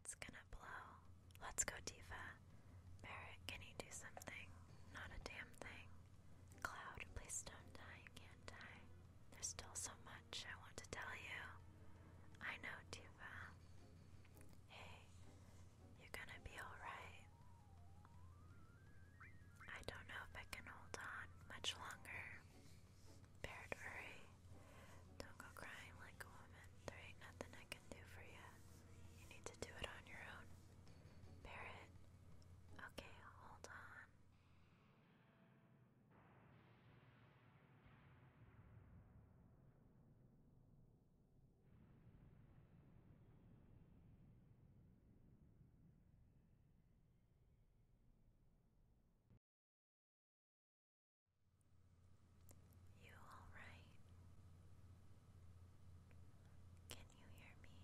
It's gonna blow. Let's go, Tifa. Barret, can you do something? Not a damn thing. Cloud, please don't die. You can't die. There's still so much I want to tell you. I know, Tifa. Hey, you're gonna be alright. I don't know if I can hold on much longer. Baird, Don't go crying like a woman. There ain't nothing I can do for you. You need to do it on your own. Barrett. Okay, hold on. You all right? Can you hear me?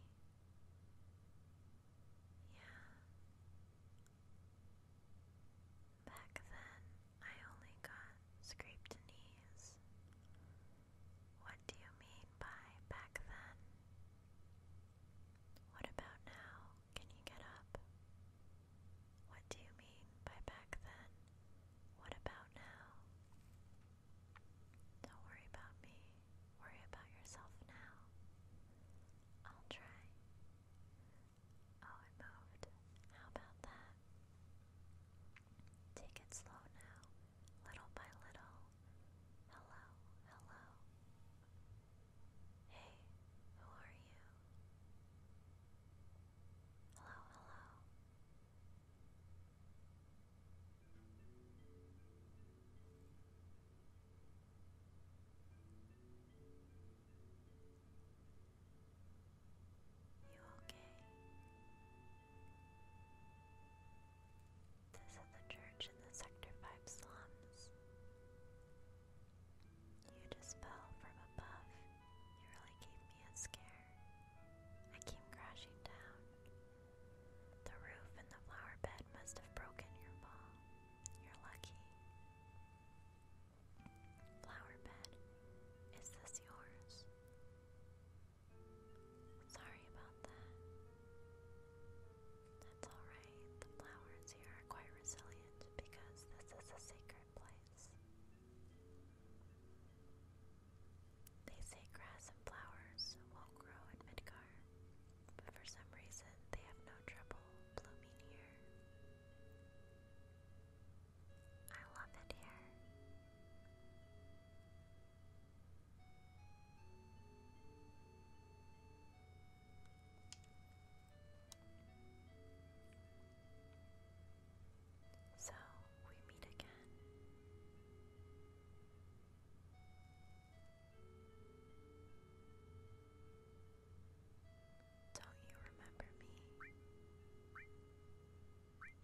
Yeah. Back then, I only got scraped knees. What do you mean by back then? What about now? Can you get up? What do you mean by back then? What about now? Don't worry about me. Worry about yourself now. I'll try. Oh, it moved. How about that? Take it slow now, little by little hello, hello. Hey, who are you? Hello, hello. You okay? This is the church in the Sector 5 slums. You just fell from above. You really gave me a scare. I came crashing down. The roof and the flower bed must have broken your fall. You're lucky. Flower bed, is this yours? Sorry about that. That's alright. The flowers here are quite resilient because this is a sacred place. They say grass and flowers won't grow in Midgar, but for some reason they have no trouble blooming here. I love it here. So we meet again. Don't you remember me?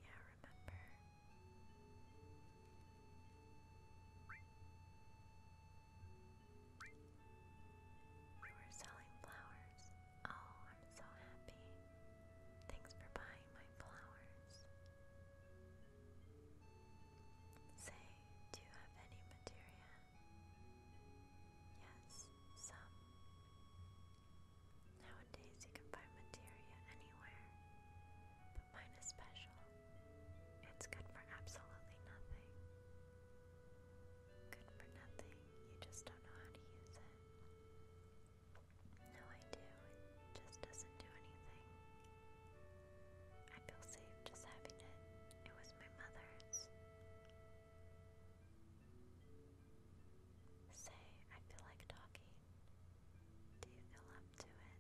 Yeah, remember. You were selling flowers. Oh, I'm so happy. Thanks for buying my flowers. Say, do you have any materia? Yes, some. Nowadays you can buy materia anywhere mine is special. It's good for absolutely nothing. Good for nothing, you just don't know how to use it. No, I do, it just doesn't do anything. I feel safe just having it. It was my mother's. Say, I feel like talking. Do you feel up to it?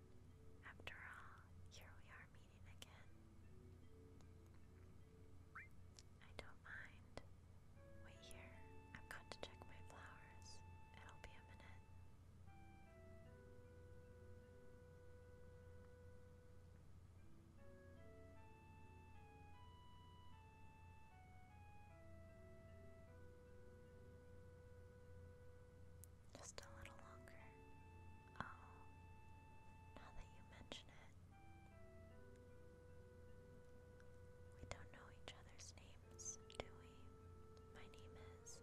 After all, here we are meeting again. I don't mind. Wait here. I've got to check my flowers. It'll be a minute. Just a little longer. Oh, now that you mention it, we don't know each other's names, do we? My name is.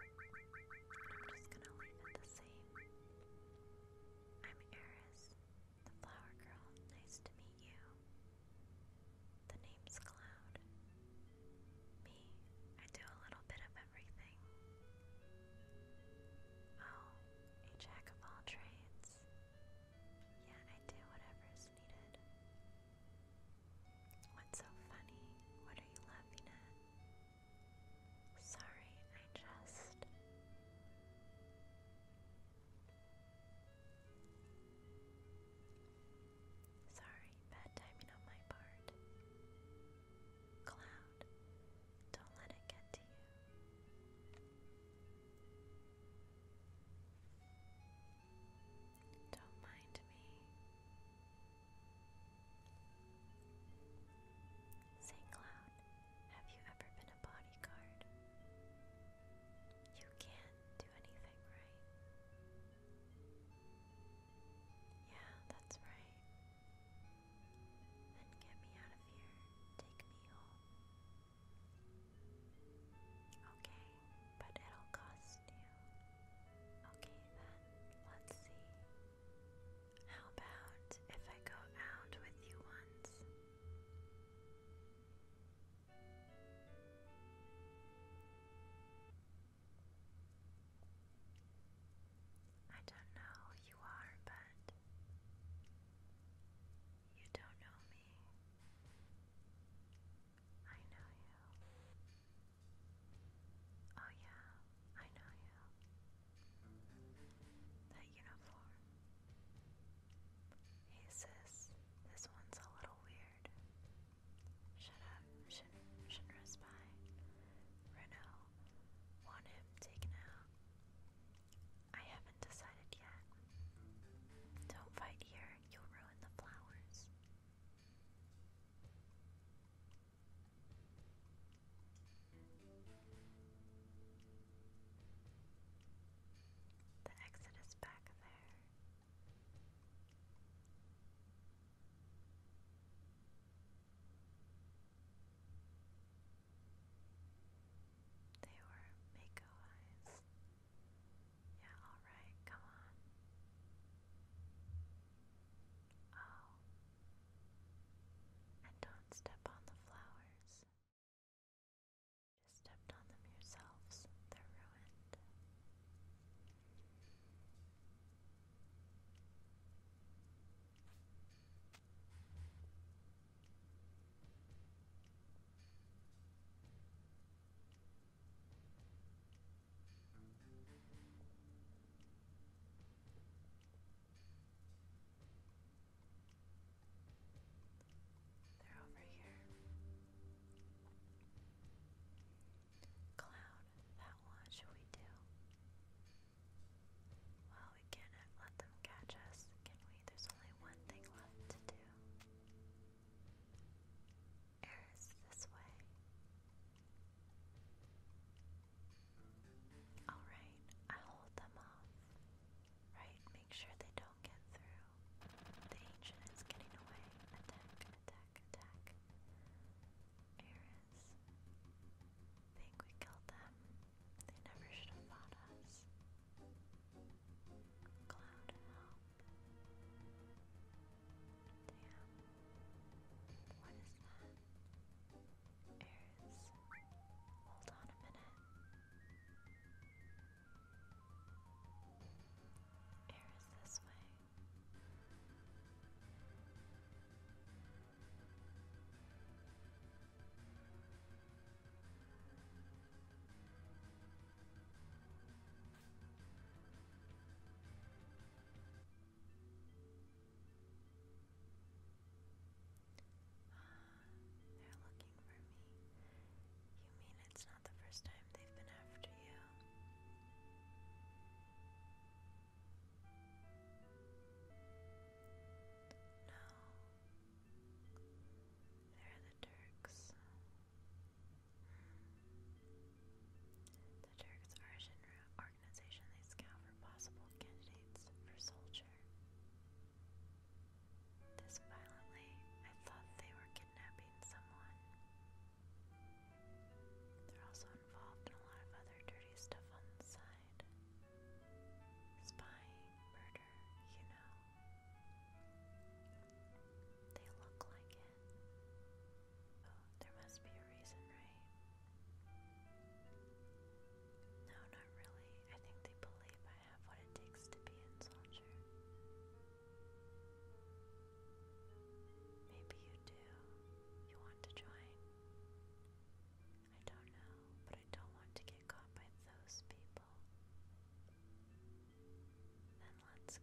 I'm just gonna leave it the same. I'm Eris, the flower girl. Nice to meet you. The name's Cloud. Me, I do a little bit of everything. Oh, a jack of all trades. Yeah, I do whatever's needed. What's so funny? What are you laughing at? Sorry, I just. Sorry, bad timing on my part. Cloud, don't let it get to you. Don't mind me. Say, Cloud, have you ever been a bodyguard? You can't do anything right. Yeah, that's right. Then get me out of here. Take me home. Okay, but it'll cost you. Okay then, let's see. How about if I go out with you once? I don't know who you are, but you don't know me. I know you. Oh, yeah, I know you. That uniform. Hey, sis, this one's a little weird. Shut up, Shin Shinra-spy. Reno, want him taken out. I haven't decided yet. Don't fight here, you'll ruin the flowers. The exit is back there. They were Mako eyes. Yeah, alright, come on. Oh. And don't step on the flowers. Just stepped on them yourselves, they're ruined. They're over here. Cloud, that one, should we do? Well, we cannot let them catch us, can we? There's only one thing left to do. Eris, this way. Alright, I hold them off. Right, make sure they don't get through. The ancient is getting away. Attack, attack, attack. Eris. Think we killed them. They never should have fought us. Cloud, help. Damn. What is that? Eris. Hold on a minute. Air this way. Ah, they're looking for me. You mean it's not the first time they've been after you. No. They're the Turks. The Turks are an organization they scout for possible candidates for soldier this violently. I thought they were kidnapping someone. They're also involved in a lot of other dirty stuff on the side. Spying, murder, you know. They look like it. Oh, there must be a reason, right? No, not really. I think they believe I have what it takes to be in soldier. Maybe you do. You want to join? I don't know, but I don't want to get caught by those people. Then let's go.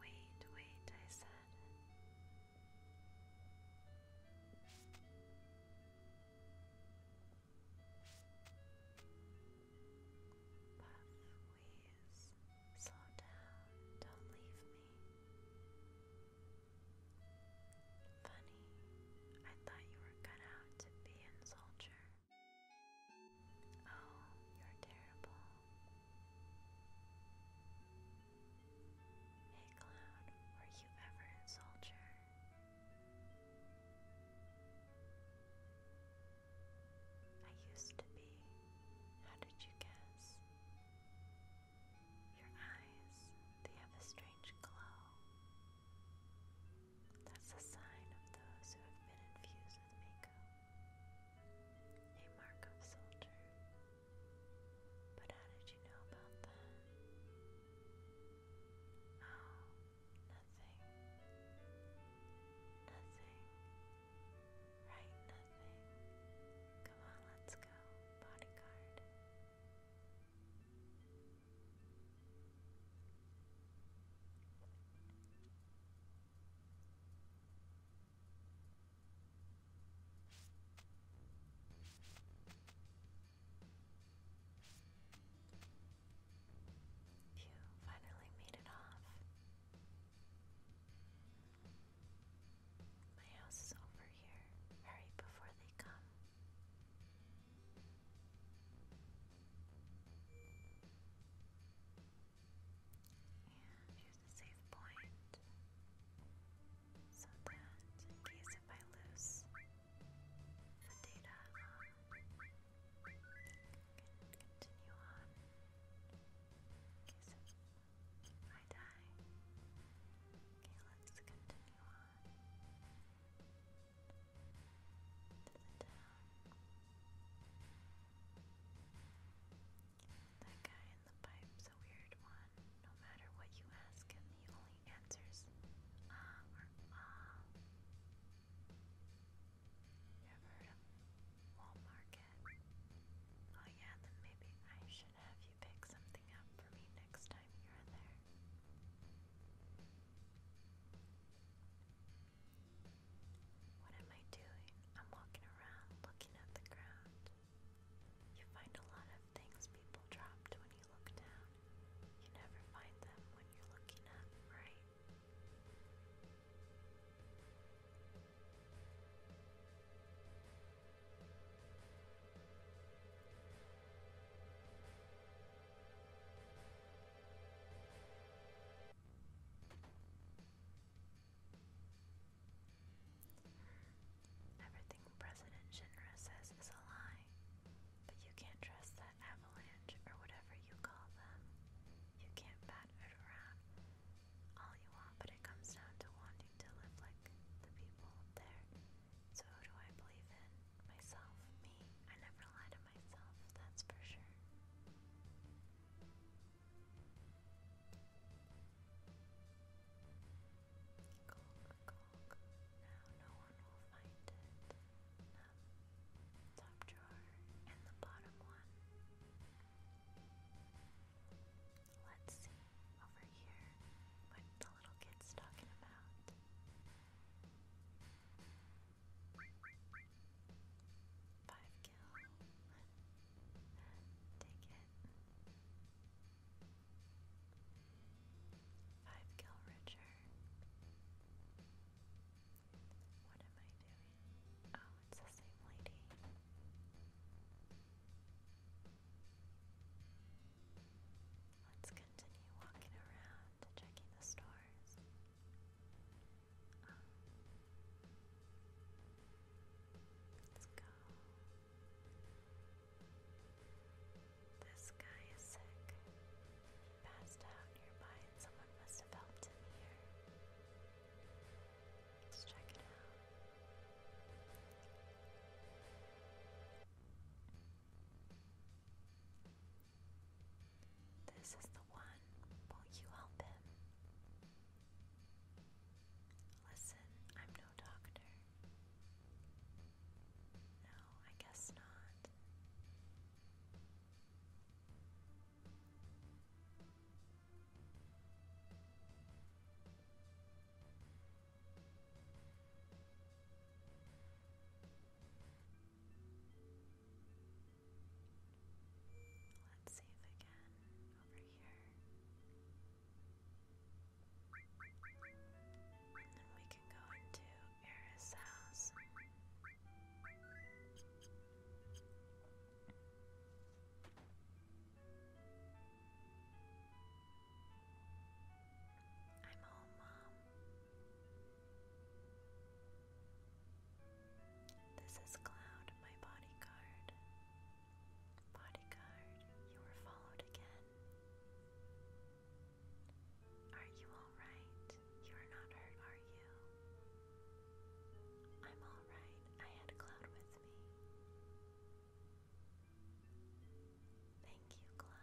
Wait, wait, I said. Puff, wheeze, slow down, don't leave me. Funny, I thought you were cut out to be in soldier. Oh, you're terrible. Hey, Cloud, were you ever in I used to be. How did you guess? Your eyes, they have a strange glow. That's a sign of those who have been infused with Mako. A mark soldier. But how did you know about that? Oh, nothing. Nothing. Right, nothing. Come on, let's go. Bodyguard. You finally made it off. My house is over here. Hurry before they come. And here's a save point. So that in case if I lose the data, I can continue on. In case if I die. Okay, let's continue on. That guy in the pipe's a weird one. No matter what you ask him, he only answers ah or ah. You ever heard of Oh yeah, then maybe I should have you pick something up for me next time you're there. What am I doing? I'm walking around looking at the ground. You find a lot of things people dropped when you look down. You never find them when you're looking up, right? Everything President Shinra says is a lie, but you can't trust that avalanche or whatever you call them. You can't bat it around all you want, but it comes down to wanting to live like the people there. So who do I believe in? Myself, me. I never lie that's for sure. Top drawer and the bottom one. Let's see over here what the little kid's talking about. Five kill. Take it. Five kill richer. What am I doing? Oh, it's the same lady. Let's continue walking around, checking the stores. Um, let's go. This guy is sick. He passed out nearby and someone must have helped him here. Let's check it out. This is the one. Will you help him? Listen, I'm no doctor. No, I guess not. Let's save again over here. And then we can go into Era's house. I'm home, Mom. This is Cloud, my bodyguard. Bodyguard, you were followed again. Are you alright? You are not hurt, are you? I'm alright. I had Cloud with me. Thank you, Cloud.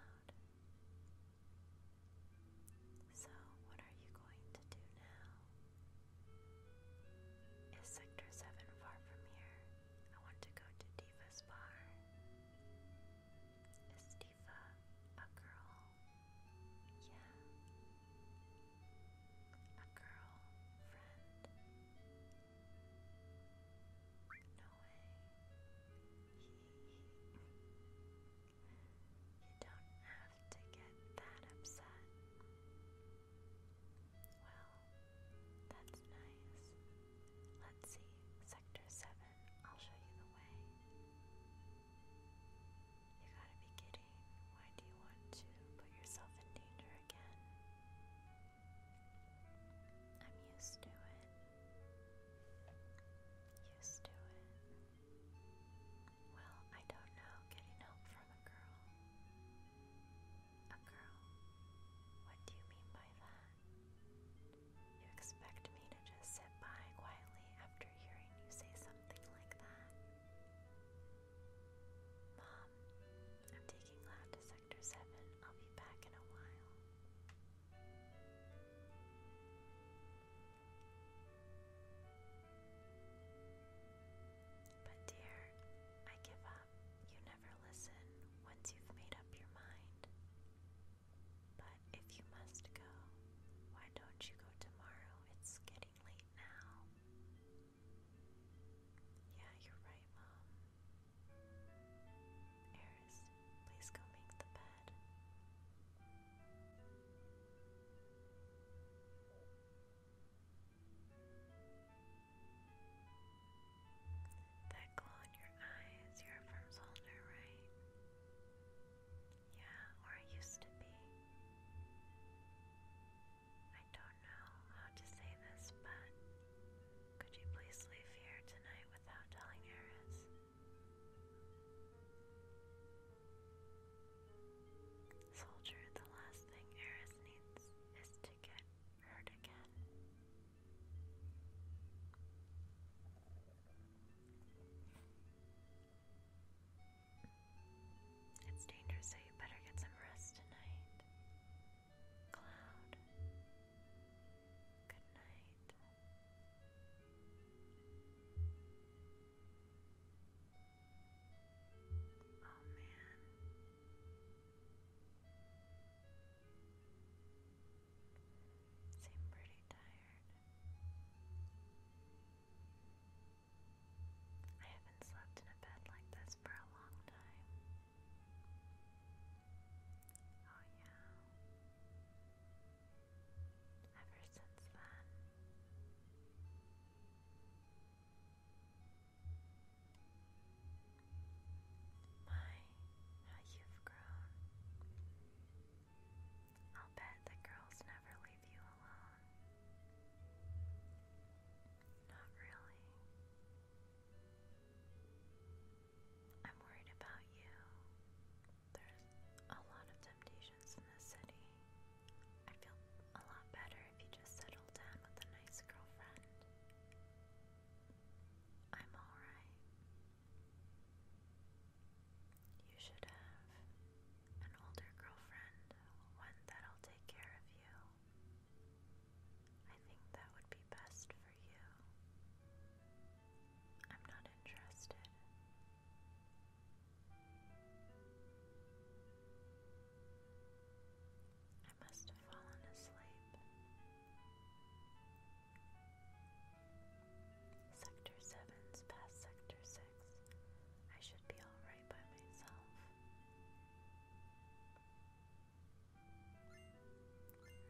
So, what are you going to do now? Is Sector 7 far from here? I want to go to Diva's bar. Is Diva a girl? Yeah. A girl friend? No way. You don't have to get that upset. Well, that's nice. Let's see, Sector 7, I'll show you the way. You gotta be kidding. Why do you want to put yourself in danger again? I'm used to it. Used to it. Well, I don't know. Getting help from a girl. A girl? What do you mean by that? You expect me to just sit by quietly after hearing you say something like that? Mom, I'm taking Lad to Sector 7. I'll be back in a while. But, dear, I give up. You never listen once you've made up your mind. But if you must go, why don't you go tomorrow? It's getting late now. Yeah, you're right, Mom. Eris, please go make the bed. That glow in your eyes, you're from Zolder, right? Yeah, or used to be. I don't know how to say this, but could you please leave here tonight without telling Eris? Soldier, the last thing Eris needs is to get hurt again. It's dangerous, so you better get some rest tonight. Cloud. Good night. Oh man. Seem pretty tired. I haven't slept in a bed like this for a long time. Oh yeah. Ever since then, my, how you've grown. I'll bet the girls never leave you alone. Not really. I'm worried about you. There's a lot of temptations in this city. i feel a lot better if you just settled down with a nice girlfriend. I'm alright. You should have an older girlfriend, one that'll take care of you. I think that would be best I'm not interested. I must have fallen asleep. Sector 7's past Sector 6. I should be alright by myself.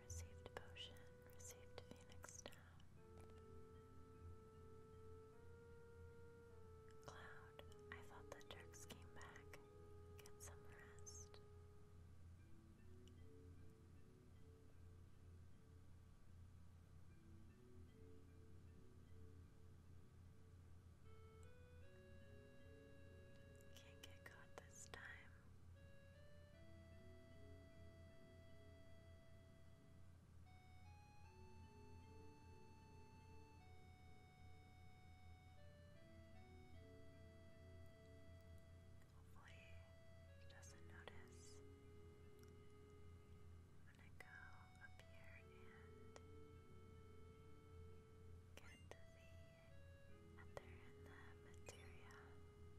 Received potion, received phoenix stone. Cloud, I thought the Turks came back. Get some rest. Can't get caught this time. Hopefully, he doesn't notice. I'm gonna go up here and get the other in the materia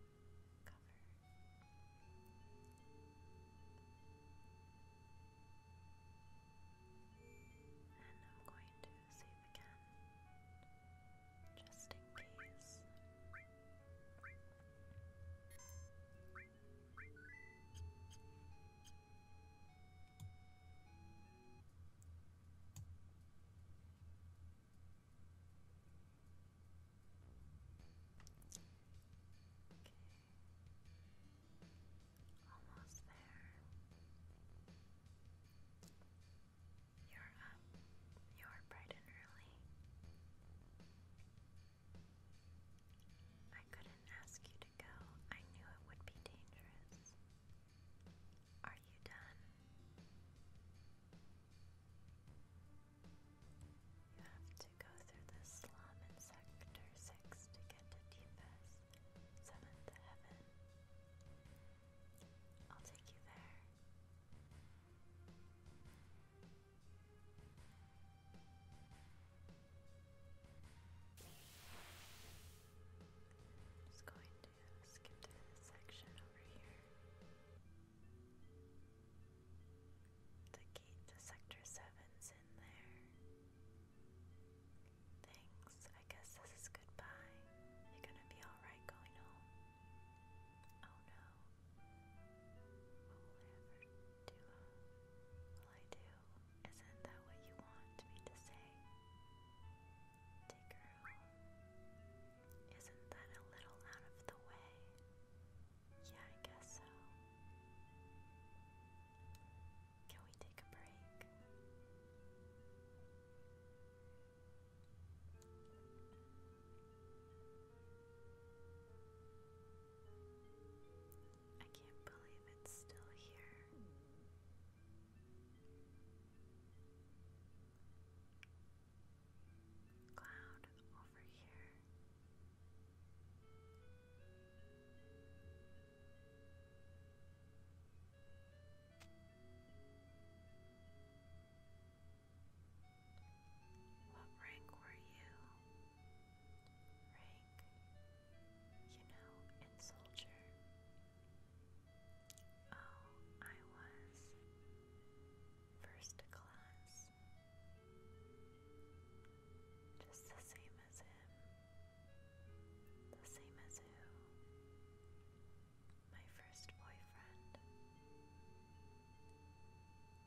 cover. And I'm going to save again, just in case. Almost there. You're up. You're bright and early. I couldn't ask you to go. I knew it would be dangerous. Are you done? You have to go through the slum in Sector 6 to get to Deepest, 7th Heaven. I'll take you there. just going to skip to this section over here. The gate to Sector 7's in there. Thanks, I guess this is goodbye. You're gonna be alright going home. Oh no. What do? I do? Isn't that what you want me to say? Take her isn't that a little out of the way? Yeah, I guess so. Can we take a break? I can't believe it's still here cloud over here. What rank were you? Rank, you know, in soldier. Oh, I was first class. Just the same as him. The same as who? My first boyfriend.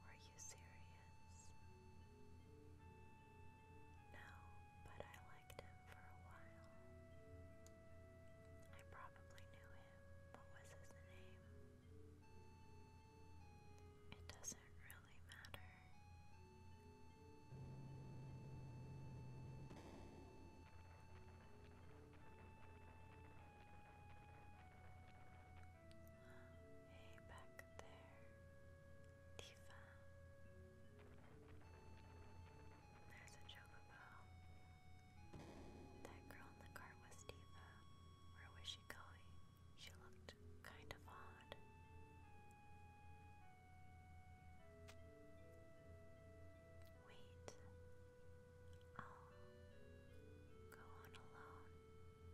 Were you serious? No, but I liked him for a while. I probably knew what was his name? It doesn't really matter. Hey, back there, Tifa. There's a chocobo. That girl in the cart was Diva. Where was she going? She looked kind of odd. Wait. I'll go on alone.